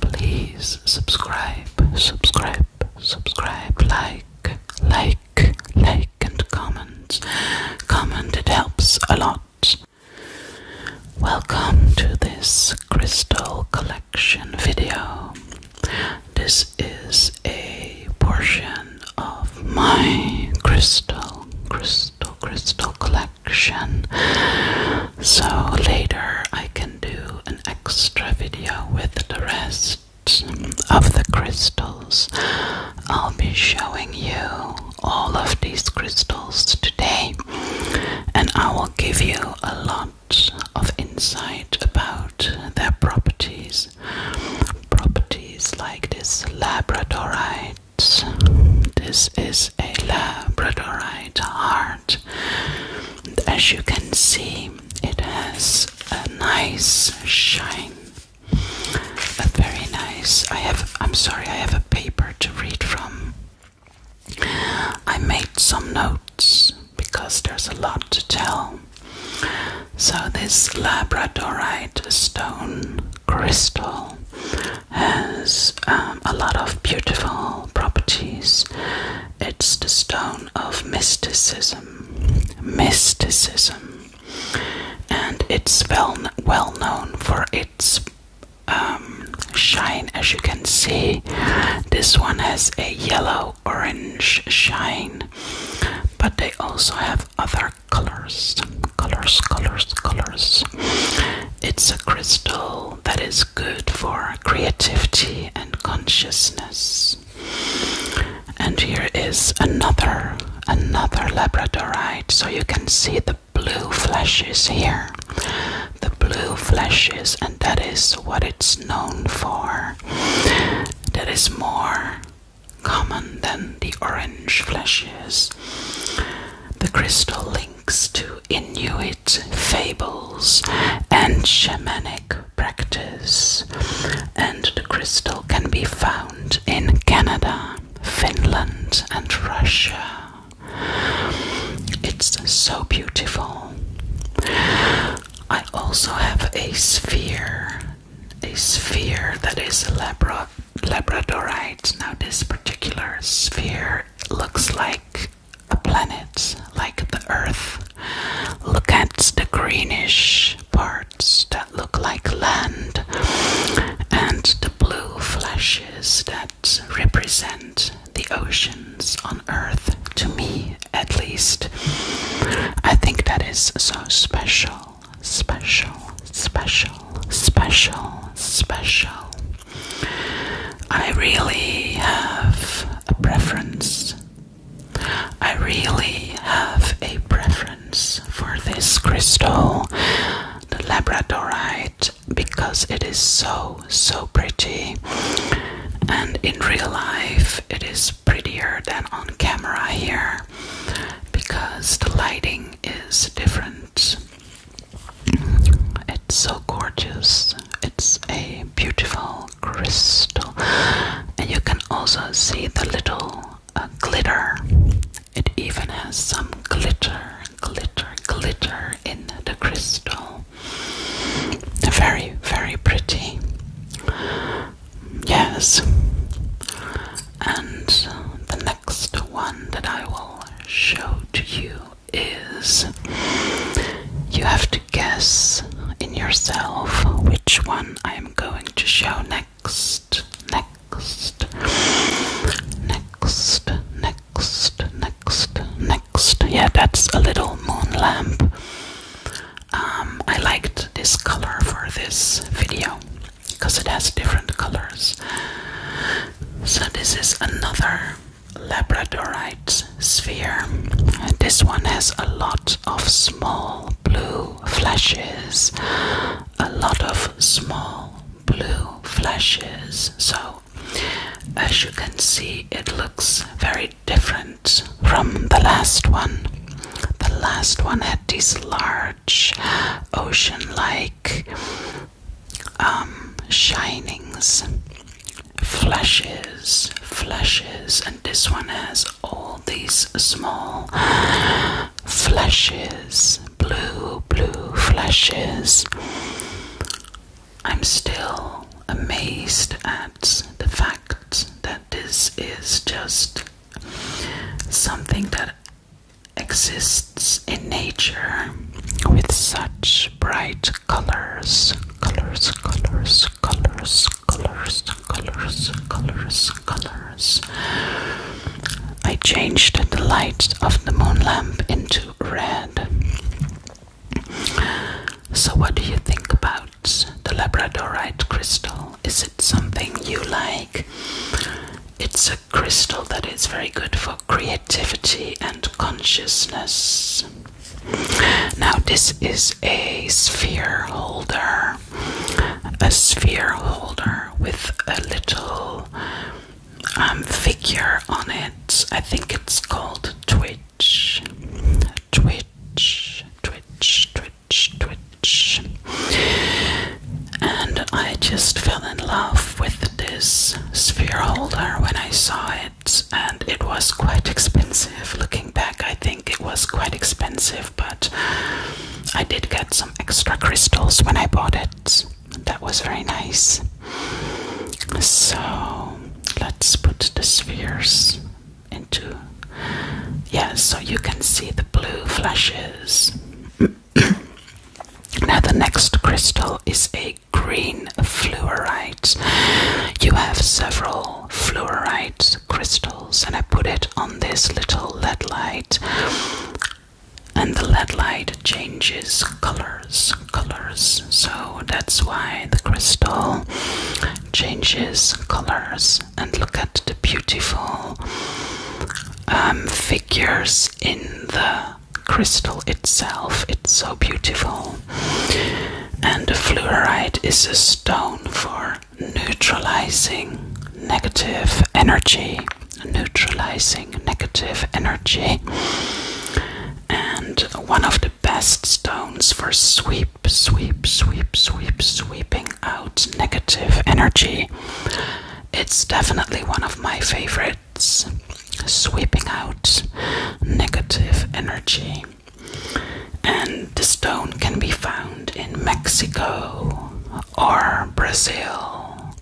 Please subscribe, subscribe, subscribe, like, like, like, and comment. Comment, it helps a lot. Welcome to this crystal collection video. This is a portion of my crystal, crystal, crystal collection. So later I can do an extra video with the rest of the crystals. I'll be showing you all of these crystals today and I will give you a lot of insight about their properties. Properties like this labradorite. This is a labradorite heart. And as you can see, it has a nice shine. A very nice. I have. I'm sorry. I have a paper to read from. I made some notes because there's a lot to tell. So this labradorite stone crystal has um, a lot of beautiful properties it's the stone of mysticism. Mysticism. And it's well, well known for its um, shine, as you can see. This one has a yellow orange shine, but they also have other colors. Colors, colors, colors. It's a crystal that is good for creativity and consciousness. And here is another another labradorite so you can see the blue flashes here. The blue flashes and that is what it's known for. That is more common than the orange flashes. The crystal link links to Inuit fables and shamanic practice, and the crystal can be found in Canada, Finland, and Russia. It's so beautiful. I also have a sphere, a sphere that is labra labradorite. Now, this particular sphere looks like planets like the Earth. Look at the greenish parts that look like land and the blue flashes that represent the oceans on Earth, to me at least. I think that is so special, special, special, special, special. I really have a preference. I really have a preference for this crystal, the labradorite, because it is so, so pretty. And in real life, it is prettier than on camera here because the lighting is different. It's so gorgeous. It's a beautiful crystal, and you can also see the little uh, glitter. It even has some glitter, glitter, glitter in the crystal. Very, very pretty. Yes. And the next one that I will show to you is you have to guess in yourself which one I am going to show next. Next, next, next, next, next. Yeah, that's a little moon lamp. Um, I liked this color for this video because it has different colors. So, this is another labradorite sphere. This one has a lot of small blue flashes, a lot of small blue flashes. So, as you can see, it looks very different from the last one. The last one had these large ocean like um, shinings, flashes, flashes, and this one has all these small flashes, blue, blue flashes. I'm still amazed at the fact that this is just something that exists in nature with such bright colors, colors, colors, colors, colors, colors, colors, colors. I changed the light of the moon lamp into red. So, what do you think about the labradorite crystal? Is it something you like? It's a crystal that is very good for creativity and consciousness. Now, this is a sphere holder, a sphere holder with a little um, figure on it. I think it's called Twitch. Twitch, Twitch, Twitch, Twitch. And I just fell in love with this sphere holder when I saw it and it was quite expensive. Looking back, I think it was quite expensive, but I did get some extra crystals when I bought it. That was very nice. So let's put the spheres into. Yeah, so you can see the blue flashes. now, the next crystal is a green fluorides. You have several fluoride crystals, and I put it on this little LED light, and the LED light changes colors, colors. So that's why the crystal changes colors. And look at the beautiful um, figures in the crystal itself. It's so beautiful. And the fluorite is a stone for neutralizing negative energy. Neutralizing negative energy. And one of the best stones for sweep, sweep, sweep, sweep, sweeping out negative energy. It's definitely one of my favorite threats, sweeping out negative energy. And the stone can be found in Mexico or Brazil.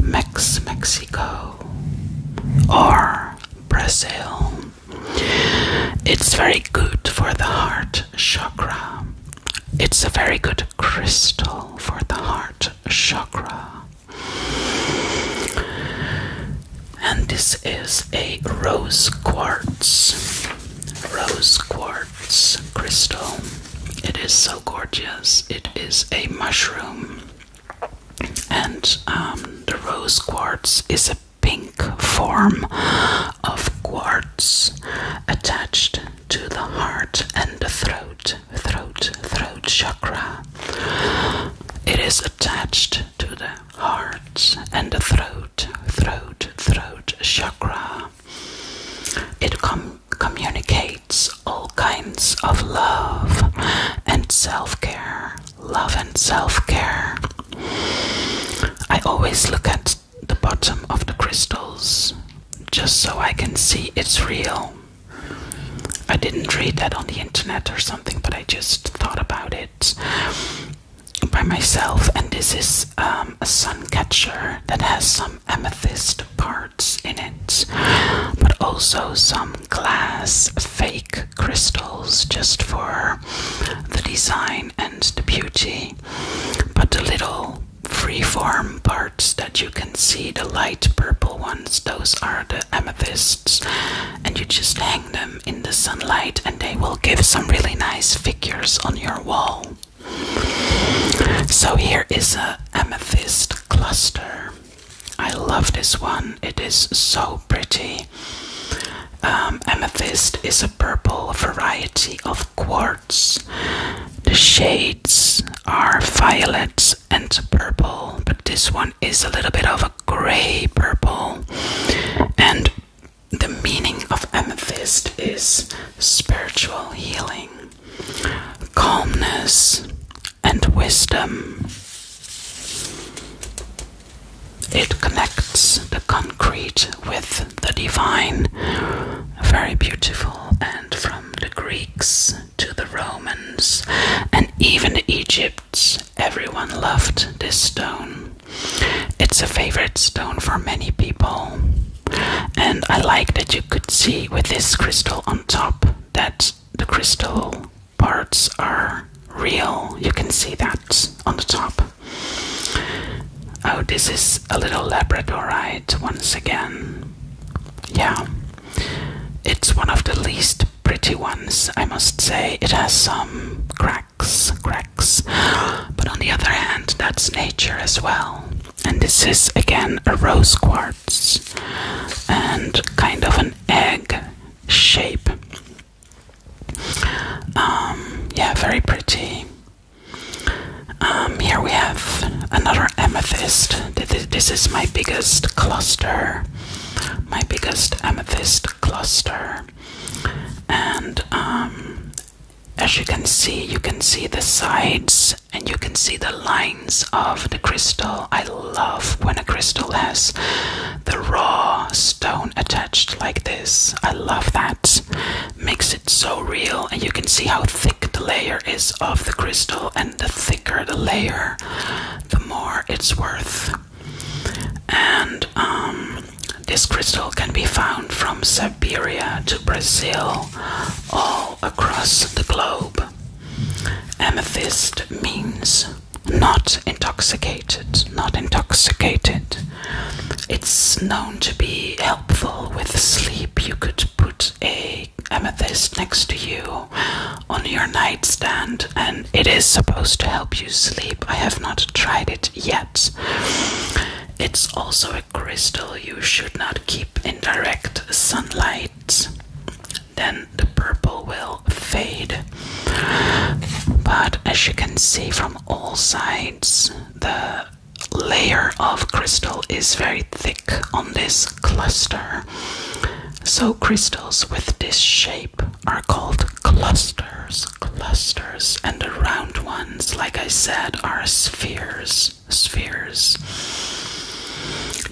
Mex Mexico or Brazil. It's very good for the heart chakra. It's a very good crystal for the heart chakra. And this is a rose quartz, rose quartz crystal. It is so gorgeous. It is a mushroom, and um, the rose quartz is a pink form of quartz attached to the heart and the throat, throat, throat chakra. It is attached to the heart and the throat, throat, throat chakra. It communicates all kinds of love and self care. Love and self care. I always look at the bottom of the crystals just so I can see it's real. I didn't read that on the internet or something, but I just thought about it by myself. And this is um, a sun catcher that has some amethyst parts in it, but also some glass fake crystals just for the design and the beauty. But the little free form parts that you can see, the light purple ones, those are the amethysts and you just hang them in the sunlight, and they will give some really nice figures on your wall. So, here is a amethyst cluster. I love this one, it is so pretty. Um, amethyst is a purple variety of quartz. The shades are violet, and purple, but this one is a little bit of a gray purple. And the meaning of amethyst is spiritual healing, calmness, and wisdom. It connects the concrete with the divine. Very beautiful, and from the Greeks to the Romans and even the Egypts Everyone loved this stone. It's a favorite stone for many people. And I like that you could see with this crystal on top that the crystal parts are real. You can see that on the top. Oh, this is a little labradorite once again. Yeah, it's one of the least pretty ones, I must say. It has some cracks, cracks. But on the other hand, that's nature as well. And this is again a rose quartz and kind of an egg shape. Um, yeah, very pretty. Um, here we have another amethyst. This is my biggest cluster my biggest amethyst cluster. And um, as you can see, you can see the sides and you can see the lines of the crystal. I love when a crystal has the raw stone attached like this. I love that. Makes it so real, and you can see how thick the layer is of the crystal, and the thicker the layer, the more it's worth and um, this crystal can be found from Siberia to Brazil, all across the globe. Amethyst means not intoxicated, not intoxicated. It's known to be helpful with sleep. You could put a amethyst next to you on your nightstand and it is supposed to help you sleep. I have not tried it yet. It's also a crystal you should not keep in direct sunlight. Then the purple will fade. But as you can see from all sides, the layer of crystal is very thick on this cluster. So, crystals with this shape are called clusters, clusters, and the round ones, like I said, are spheres, spheres.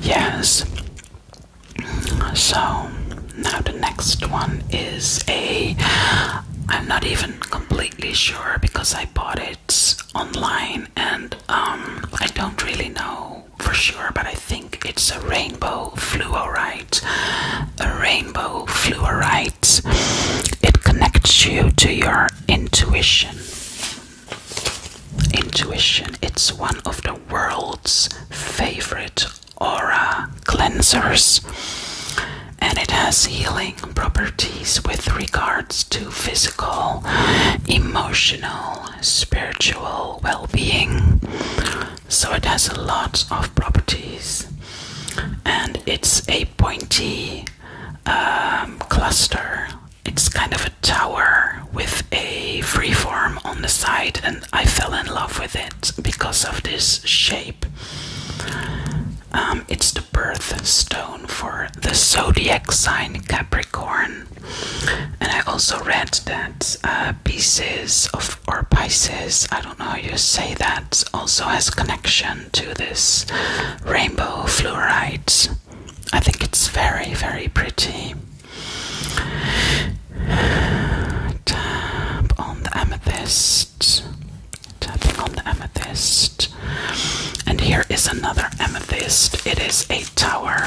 Yes. So now the next one is a. I'm not even completely sure because I bought it online and um, I don't really know for sure, but I think it's a rainbow fluorite. A rainbow fluorite. It connects you to your intuition. Intuition. It's one of the world's favorite aura cleansers. And it has healing properties with regards to physical, emotional, spiritual well being so it has a lot of properties and it's a pointy um, cluster it's kind of a tower with a freeform on the side and i fell in love with it because of this shape um, it's the birthstone for the zodiac sign capricorn and I also read that uh, pieces of or Pisces, I don't know you say that, also has connection to this rainbow fluorite. I think it's very, very pretty. Tap on the amethyst. Tapping on the amethyst. And here is another amethyst. It is a tower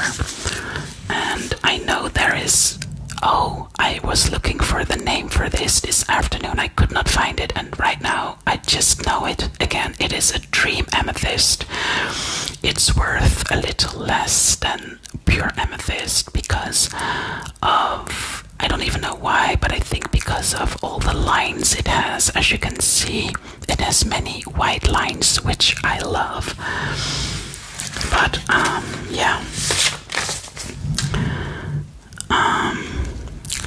and I know there is. Oh, I was looking for the name for this this afternoon. I could not find it, and right now I just know it again. It is a dream amethyst. It's worth a little less than pure amethyst because of. I don't even know why, but I think because of all the lines it has. As you can see, it has many white lines, which I love. But um, yeah. Um,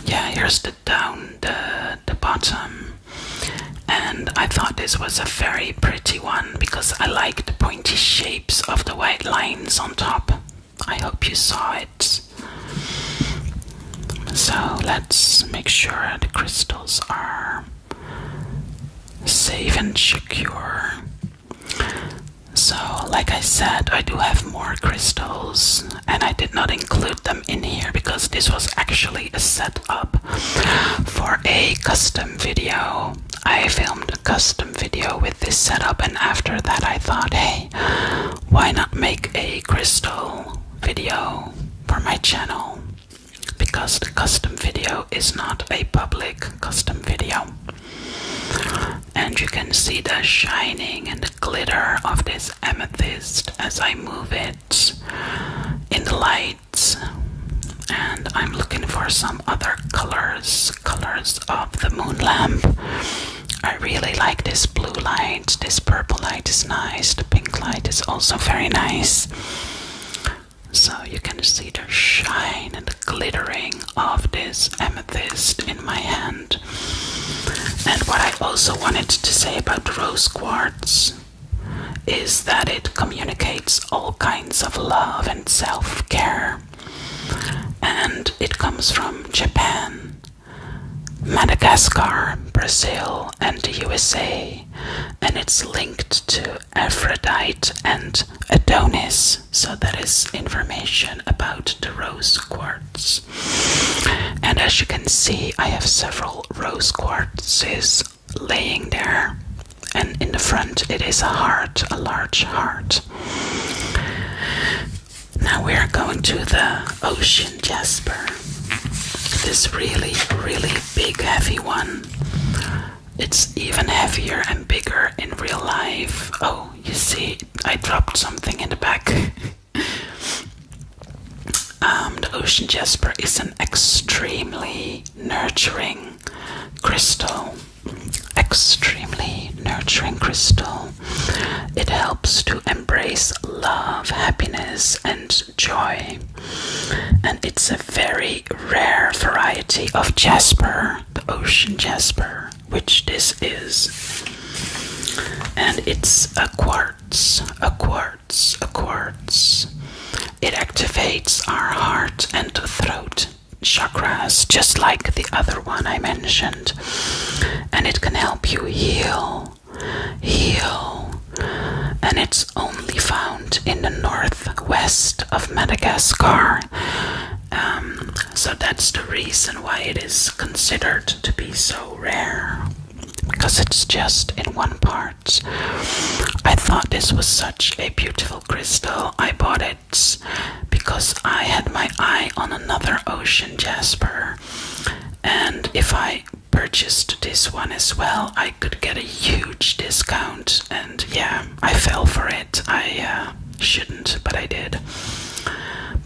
yeah, here's the down the the bottom. And I thought this was a very pretty one because I like the pointy shapes of the white lines on top. I hope you saw it. So let's make sure the crystals are safe and secure. So, like I said, I do have more crystals, and I did not include them in here because this was actually a setup for a custom video. I filmed a custom video with this setup, and after that, I thought, hey, why not make a crystal video for my channel? Because the custom video is not a public custom video. And you can see the shining and the glitter of this amethyst as I move it in the lights. And I'm looking for some other colors, colors of the moon lamp. I really like this blue light, this purple light is nice, the pink light is also very nice so you can see the shine and the glittering of this amethyst in my hand. And what I also wanted to say about rose quartz is that it communicates all kinds of love and self care. And it comes from Japan, Madagascar, Brazil, and the USA, and it's linked to Aphrodite and Adonis. So that is information about the rose quartz. And as you can see, I have several rose quartzes laying there. And in the front, it is a heart, a large heart. Now we are going to the ocean jasper. This really, really big, heavy one. It's even heavier and bigger in real life. Oh, you see, I dropped something in the back. um, the ocean jasper is an extremely nurturing crystal. Extremely nurturing crystal. It helps to embrace love, happiness, and joy. And it's a very rare variety of jasper, the ocean jasper, which this is. And it's a quartz, a quartz, a quartz. It activates our heart and throat chakras, just like the other one I mentioned. And it can help you heal, heal. And it's only found in the northwest of Madagascar. Um, so that's the reason why it is considered to be so rare because it's just in one part. I thought this was such a beautiful crystal. I bought it because I had my eye on another ocean jasper, and if I purchased this one as well, I could get a huge discount. And yeah, I fell for it. I uh, shouldn't, but I did.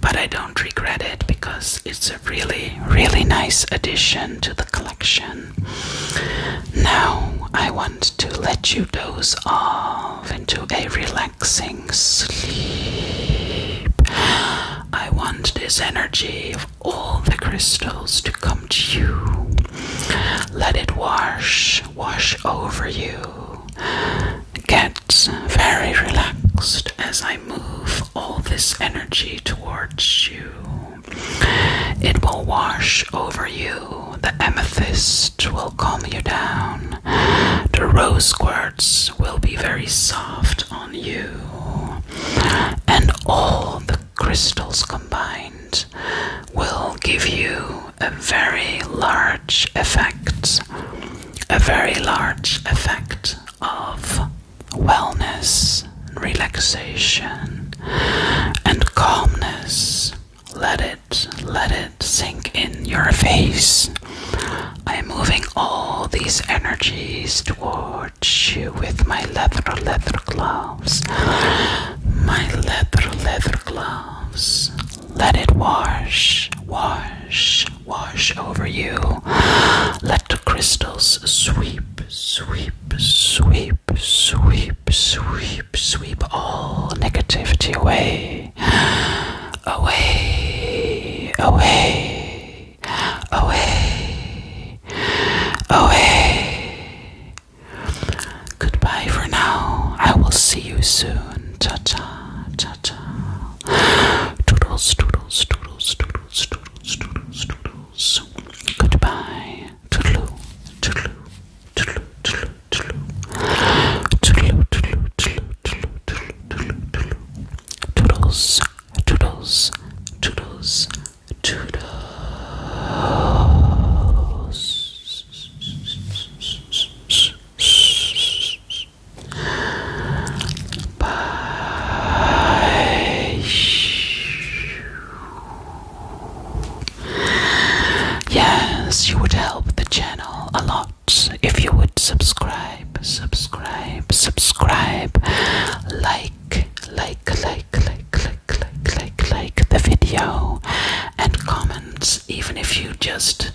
But I don't regret it because it's a really, really nice addition to the collection. Now I want to let you doze off into a relaxing sleep. I want this energy of all the crystals to come to you. Let it wash wash over you. Get very relaxed as I move all this energy towards you. It will wash over you. The amethyst will calm you down. The rose quartz will be very soft on you. And all the crystals combined will give you a very large effect, a very large effect of wellness, relaxation, and calmness. Let it, let it sink in your face. I am moving all these energies towards you with my leather leather glove my leather, leather gloves. Let it wash, wash, wash over you. Let the crystals sweep, sweep, sweep, sweep, sweep, sweep all negativity away. Away, away, away, away, Goodbye for now. I will see you soon. Cha cha, cha cha. Toodles, toodles, toodles, toodles, toodles, toodles, toodles. Goodbye. Toodaloo, toodaloo, toodaloo, toodaloo, toodaloo. Toodaloo, toodaloo, toodaloo, toodaloo, toodaloo, toodaloo. Toodles, toodles, toodles, toodles. Bye. Yes, you would help the channel a lot if you would subscribe, subscribe, subscribe, like, like, like, like, like click, like the video and comments. Even if you just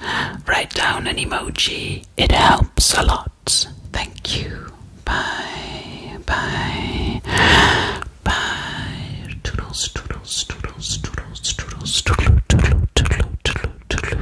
write down an emoji, it helps a lot. Thank you. Bye, bye, bye. Toodles, toodles, toodles, toodles, toodles, toodle, toodle, toodle, toodle,